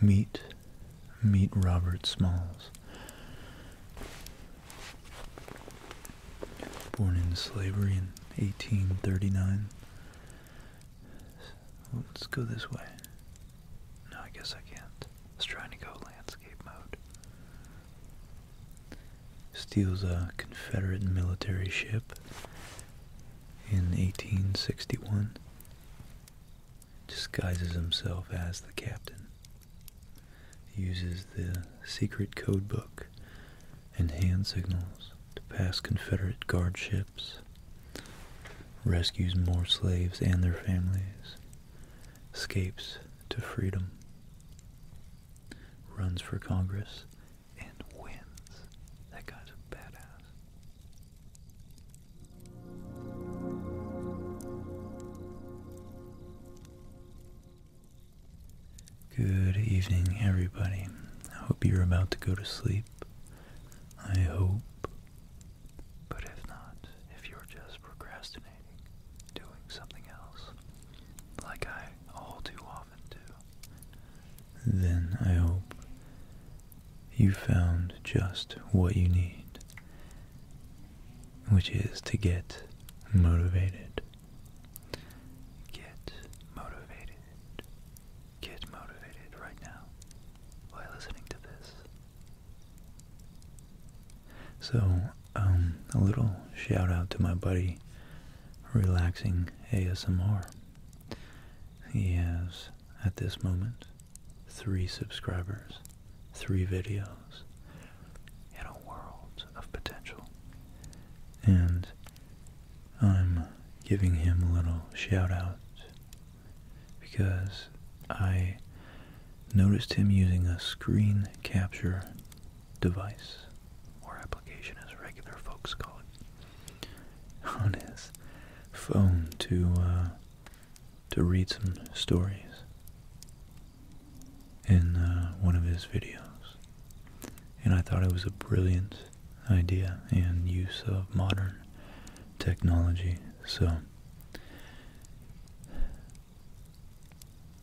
Meet, meet Robert Smalls. Born into slavery in 1839. Let's go this way. No, I guess I can't. I was trying to go landscape mode. Steals a Confederate military ship in 1861 disguises himself as the captain, uses the secret code book and hand signals to pass Confederate guard ships, rescues more slaves and their families, escapes to freedom, runs for Congress and wins. That guy's a badass. Good evening, everybody. I hope you're about to go to sleep. I hope. But if not, if you're just procrastinating, doing something else, like I all too often do, then I hope you found just what you need, which is to get motivated. Get motivated. Get motivated right now while listening to this. So, um, a little shout out to my buddy relaxing ASMR. He has, at this moment, three subscribers, three videos, and a world of potential. And I'm giving him a little shout out because I noticed him using a screen capture device or application as regular folks call it, on his phone to uh, to read some stories in uh, one of his videos, and I thought it was a brilliant idea and use of modern technology. So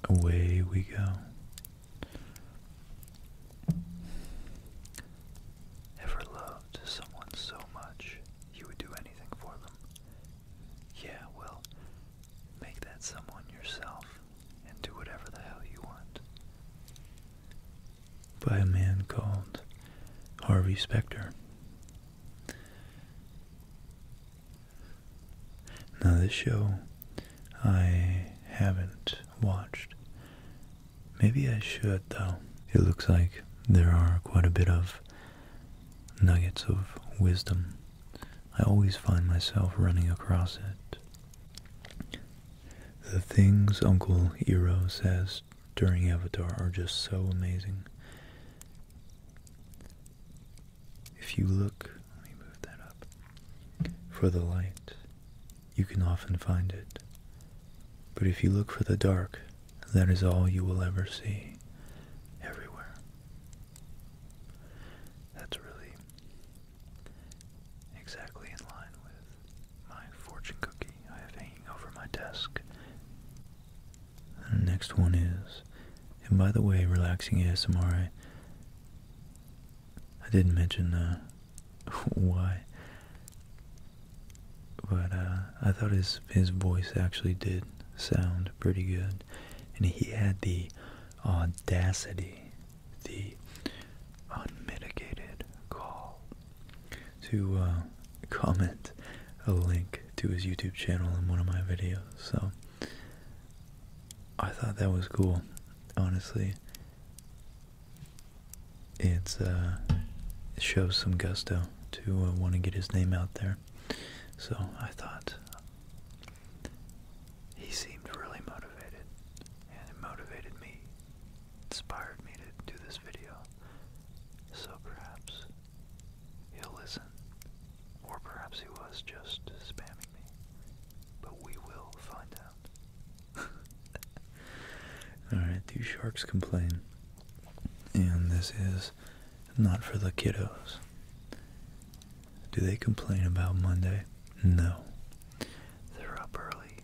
away we go. Ever loved someone so much you would do anything for them? Yeah, well, make that someone yourself and do whatever the hell you want. By a man called Harvey Specter. Now, this show I haven't watched. Maybe I should though. It looks like there are quite a bit of nuggets of wisdom. I always find myself running across it. The things Uncle Iro says during Avatar are just so amazing. If you look, let me move that up, for the light you can often find it. But if you look for the dark, that is all you will ever see everywhere. That's really exactly in line with my fortune cookie I have hanging over my desk. the next one is, and by the way, relaxing ASMR, I didn't mention uh, why, but uh, I thought his his voice actually did sound pretty good, and he had the audacity, the unmitigated call to uh, comment a link to his YouTube channel in one of my videos. So I thought that was cool, honestly. Uh, it shows some gusto to uh, want to get his name out there. So I thought he seemed really motivated, and it motivated me, inspired me to do this video. So perhaps he'll listen, or perhaps he was just spamming me, but we will find out. Alright, do sharks complain? And this is not for the kiddos. Do they complain about Monday? No. They're up early,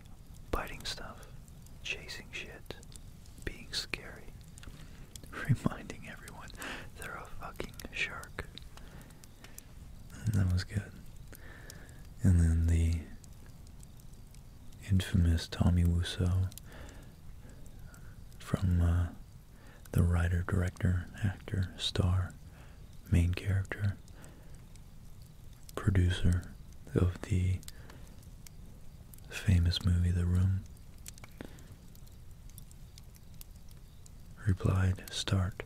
biting stuff, chasing shit, being scary, reminding everyone they're a fucking shark. And that was good. And then the infamous Tommy Wiseau from uh, the writer, director, actor, star, main character, producer of the famous movie The Room, replied, Start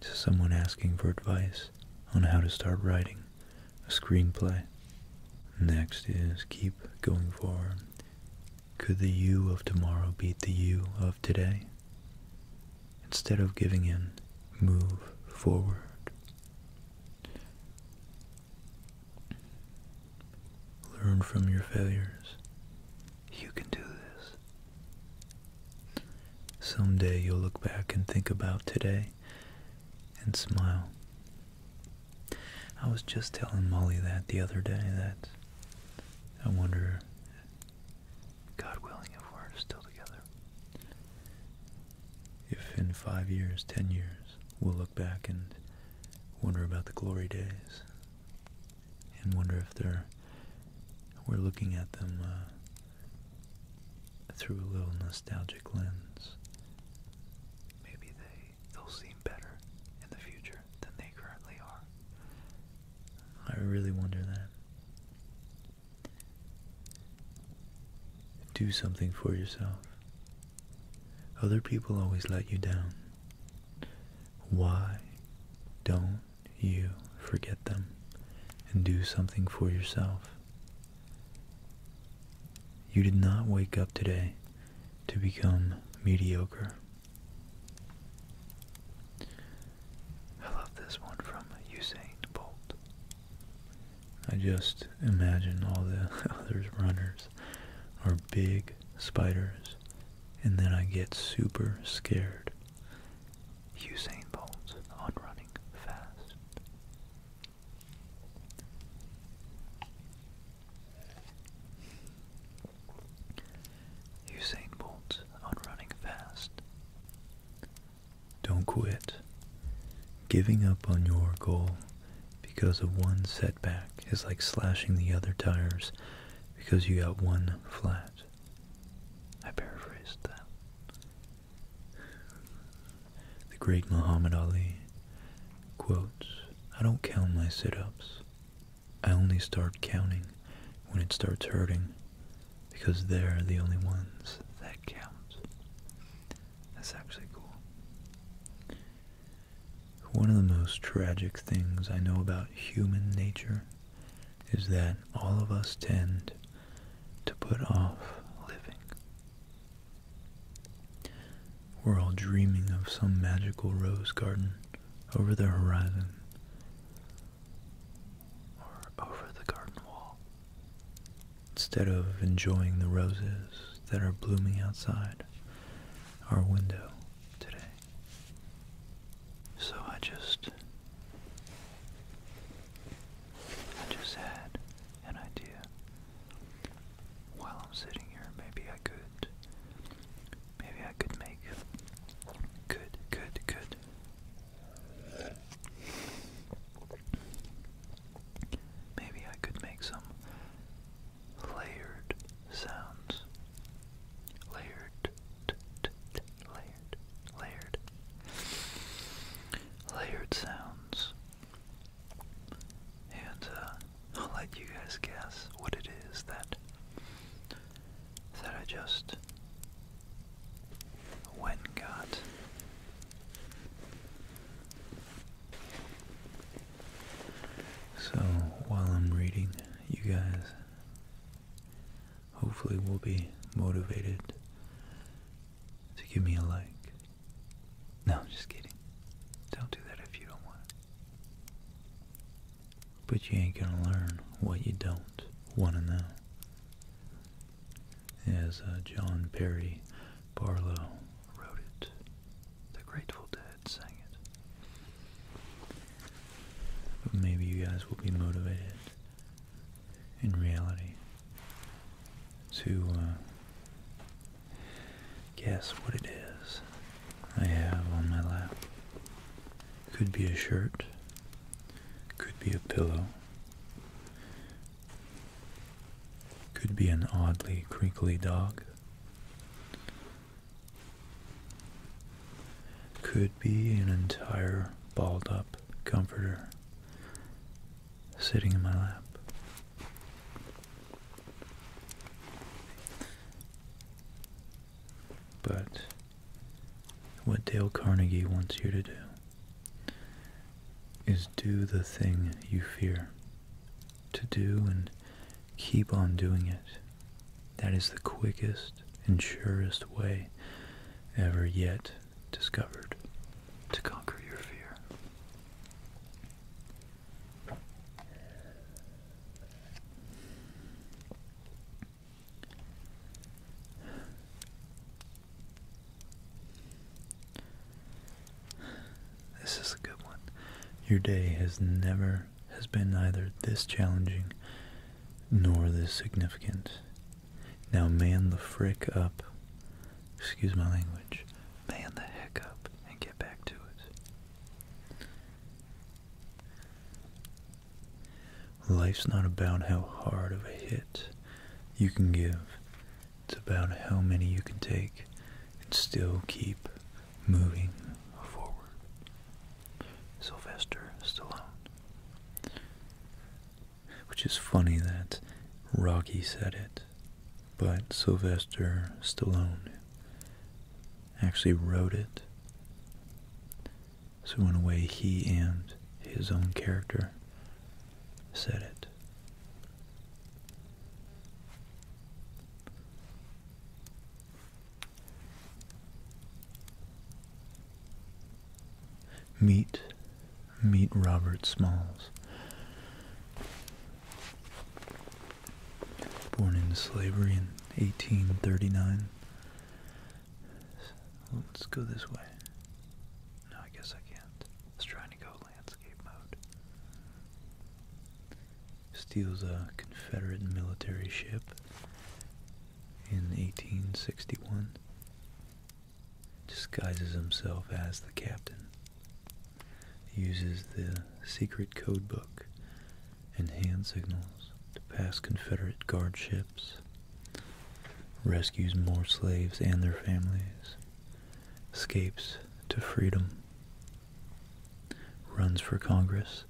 to someone asking for advice on how to start writing a screenplay. Next is keep going forward. Could the you of tomorrow beat the you of today? Instead of giving in, move forward. Learn from your failures. You can do this. Someday you'll look back and think about today and smile. I was just telling Molly that the other day that I wonder, God willing, if we're still together. If in five years, ten years, we'll look back and wonder about the glory days and wonder if they're we're looking at them uh, through a little nostalgic lens. Maybe they they'll seem better in the future than they currently are. I really wonder that. Do something for yourself. Other people always let you down. Why don't you forget them and do something for yourself. You did not wake up today to become mediocre. I love this one from Usain Bolt. I just imagine all the other runners are big spiders, and then I get super scared Usain Bolt on running fast. Usain Bolt on running fast. Don't quit. Giving up on your goal because of one setback is like slashing the other tires because you got one flat. I paraphrased that. The great Muhammad Ali quotes, I don't count my sit-ups. I only start counting when it starts hurting because they're the only ones that count. That's actually cool. One of the most tragic things I know about human nature is that all of us tend to put off living. We're all dreaming of some magical rose garden over the horizon or over the garden wall instead of enjoying the roses that are blooming outside our window today. So I just I just had an idea. While I'm sitting here, maybe I could maybe I could make good good good Maybe I could make some layered sounds. Layered layered, layered, layered sounds. And uh, I'll let you guys guess what it is that that I just went got. So while I'm reading, you guys hopefully we will be motivated to give me a like. No, I'm just kidding. Don't do that if you don't want But you ain't gonna learn what you don't want to know. As uh, John Perry Barlow wrote it, the Grateful Dead sang it maybe you guys will be motivated in reality to uh, guess what it is I have on my lap. Could be a shirt, could be a pillow, could be an oddly creakly dog, could be an entire balled up comforter sitting in my lap. But what Dale Carnegie wants you to do is do the thing you fear to do and keep on doing it. That is the quickest fastest and surest way ever yet discovered to conquer your fear. This is a good one. Your day has never has been neither this challenging nor this significant. Now man the frick up, excuse my language, man the heck up and get back to it. Life's not about how hard of a hit you can give. It's about how many you can take and still keep moving forward. Sylvester Stallone. Which is funny that Rocky said it, but Sylvester Stallone actually wrote it. So, in a way, he and his own character said it. Meet, meet Robert Smalls. Born into slavery in 1839. Let's go this way. No, I guess I can't. I was trying to go landscape mode. Steals a Confederate military ship in 1861 disguises himself as the captain, uses the secret code book and hand signals to pass Confederate guard ships, rescues more slaves and their families, escapes to freedom, runs for Congress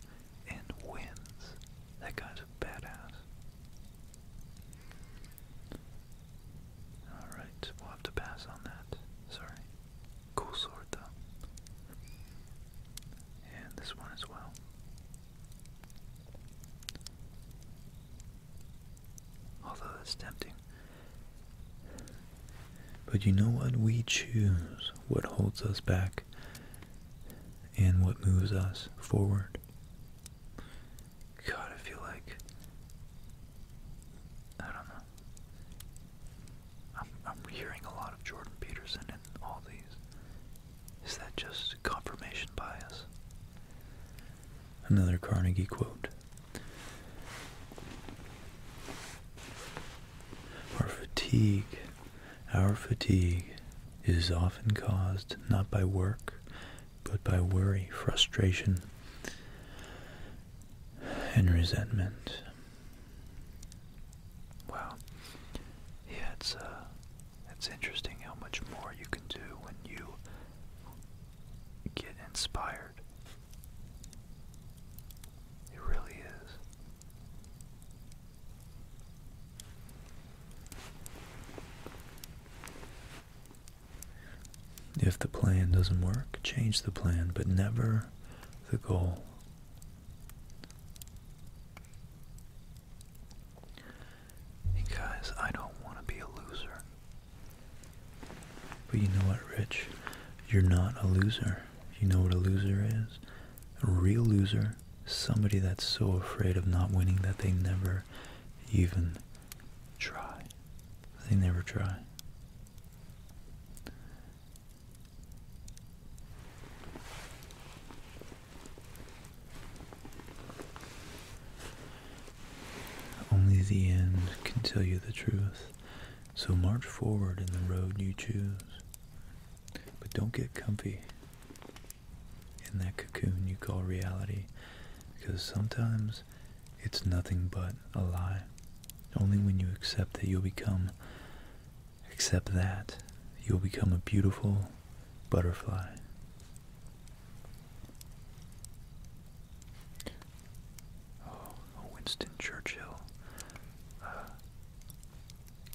and wins. That guy's a badass. Alright, we'll have to pass on that. Sorry. Cool sword though. And this one as well. Although that's tempting. But you know what? We choose what holds us back and what moves us forward. God, I feel like I don't know. I'm, hearing a lot of Jordan Peterson in all these. Is that just confirmation bias? Another Carnegie quote. Our fatigue our fatigue is often caused not by work, but by worry, frustration, and resentment. Wow. Yeah, it's uh, it's interesting how much more you can do when you get inspired. It really is. If the plan doesn't work, change the plan, but never the goal. Hey I don't want to be a loser. But you know what, Rich? You're not a loser. You know what a loser is? a real loser, somebody that's so afraid of not winning that they never even try. They never try. Only the end can tell you the truth. So march forward in the road you choose. But don't get comfy in that cocoon you call reality because sometimes it's nothing but a lie. Only when you accept that you'll become, accept that, you'll become a beautiful butterfly. Oh, Winston Churchill. Uh,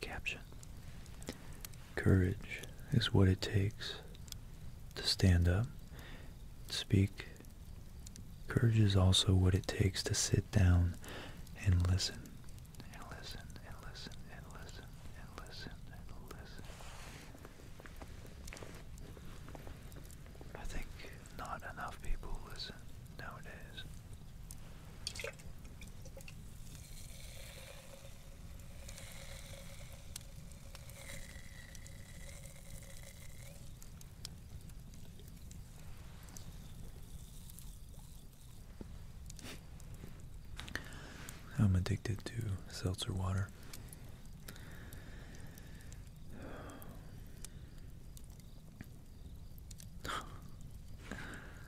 Caption Courage is what it takes to stand up, and speak. Courage is also what it takes to sit down and listen, and listen, and listen, and listen, and listen, and listen. I think not enough people listen nowadays. I'm addicted to seltzer water.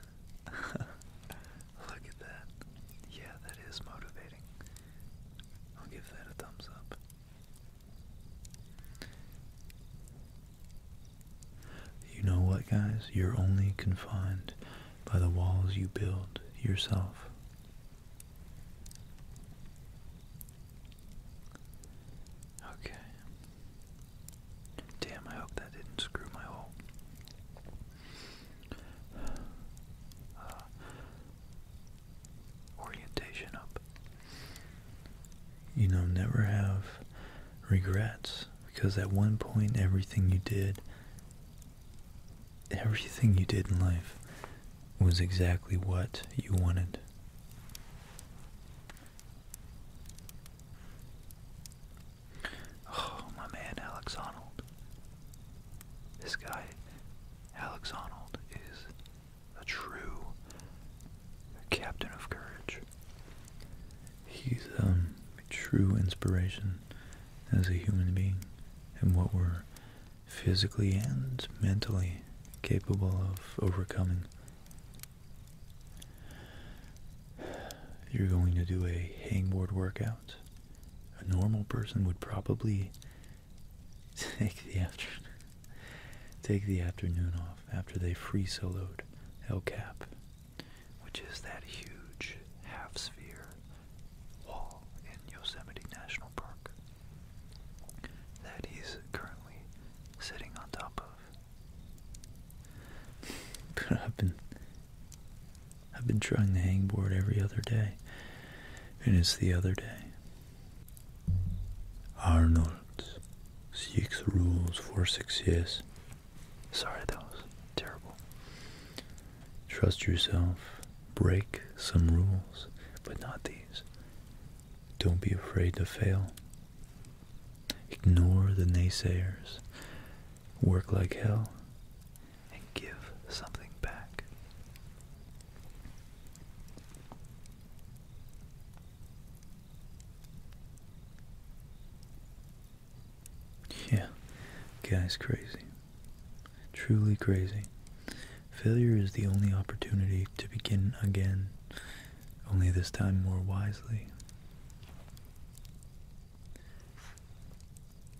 Look at that. Yeah, that is motivating. I'll give that a thumbs up. You know what, guys? You're only confined by the walls you build yourself. Okay, Damn, I hope that didn't screw my hole. orientation up. You know, never have regrets because at one point everything you did, everything you did in life was exactly what you wanted. Oh, my man, Alex Arnold. This guy, Alex Honnold, is a true captain of courage. He's um, a true inspiration as a human being and what we're physically and mentally capable of overcoming. You're going to do a hangboard workout. A normal person would probably take the afternoon off after they free soloed El Cap, which is that huge half sphere wall in Yosemite National Park that he's currently sitting on top of. I've been I've been trying the hangboard every other day. And it's the other day. Arnold six rules for success. Sorry that was terrible. Trust yourself. Break some rules, but not these. Don't be afraid to fail. Ignore the naysayers work like hell, and give something back. Yeah, guy's crazy. Truly crazy. Failure is the only opportunity to begin again, only this time more wisely.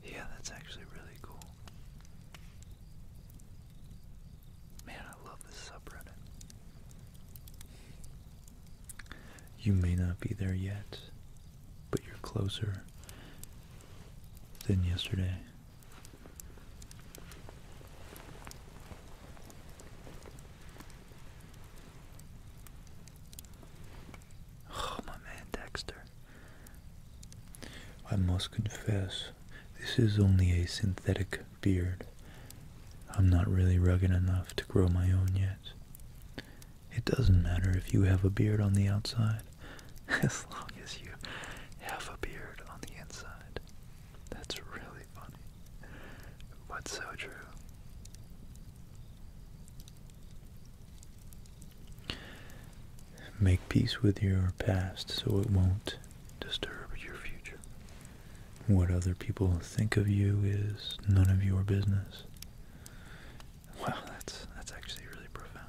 Yeah, that's actually really cool. Man, I love this subreddit. You may not be there yet, but you're closer than yesterday. Oh, my man Dexter. I must confess, this is only a synthetic beard. I'm not really rugged enough to grow my own yet. It doesn't matter if you have a beard on the outside, as long as you have a beard on the inside. That's really funny, but so true. Make peace with your past so it won't disturb your future. What other people think of you is none of your business. Wow, that's that's actually really profound.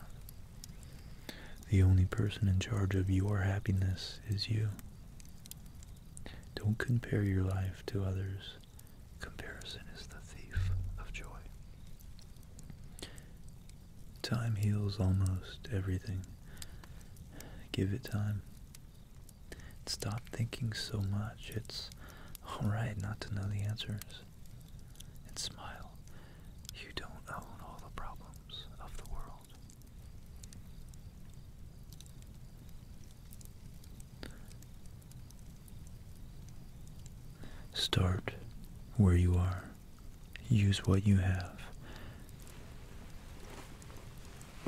The only person in charge of your happiness is you. Don't compare your life to others. Comparison is the thief of joy. Time heals almost everything. Give it time. Stop thinking so much. It's alright not to know the answers. And smile. You don't own all the problems of the world. Start where you are. Use what you have.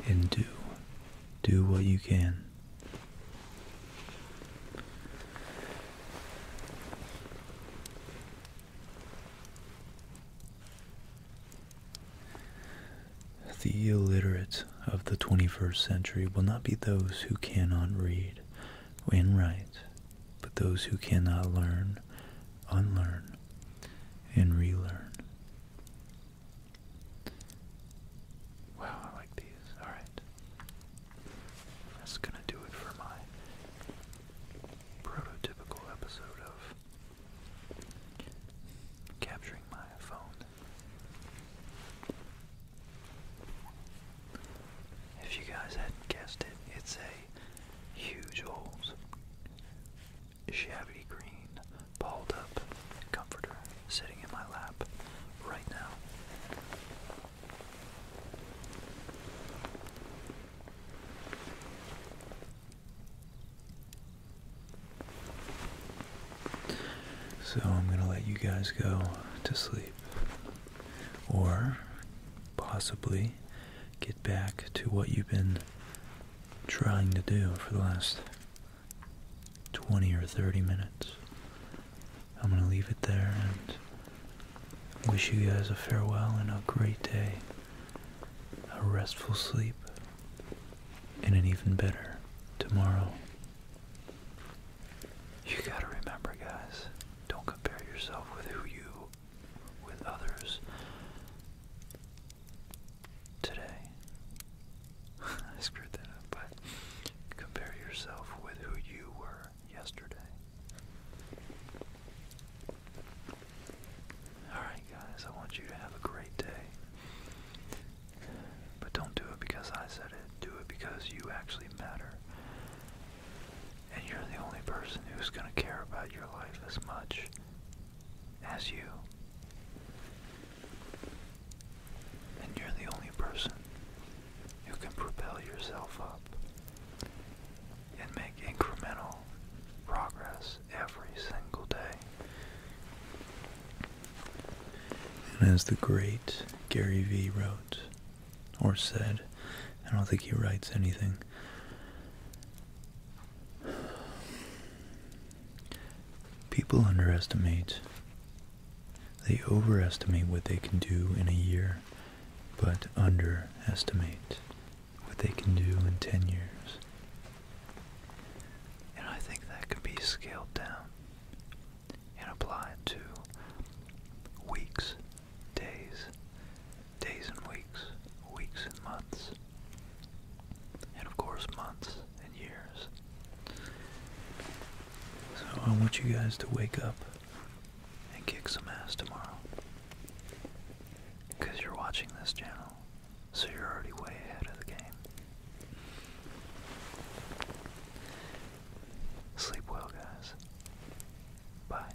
And do. Do what you can. The illiterate of the 21st century will not be those who cannot read and write, but those who cannot learn, unlearn, and relearn. Wow, I like these. Alright. That's going to do it for my prototypical episode of capturing my phone if you guys hadn't guessed it, it's a huge old shabby green balled up comforter sitting in my lap right now. So I'm going to let you guys go to sleep or possibly get back to what you've been trying to do for the last 20 or 30 minutes. I'm going to leave it there and wish you guys a farewell and a great day, a restful sleep, and an even better tomorrow. You gotta remember, guys, don't compare yourself with who you, with others. Today, I screwed that up, but compare yourself with who you were yesterday. Alright, guys, I want you to have a great day. But don't do it because I said it. Do it because you actually matter. And you're the only person who's going to care about your life as much as you. And you're the only person who can propel yourself up and make incremental progress every single day. And as the great Gary Vee wrote, or said, I don't think he writes anything. People underestimate, they overestimate what they can do in a year, but underestimate what they can do in 10 years. And I think that could be scaled down and apply it to weeks, days, days and weeks, weeks and months, and of course months and years. So I want you guys to wake up and kick some ass tomorrow. Because you're watching this channel so you're already way ahead of the game. Sleep well, guys. Bye.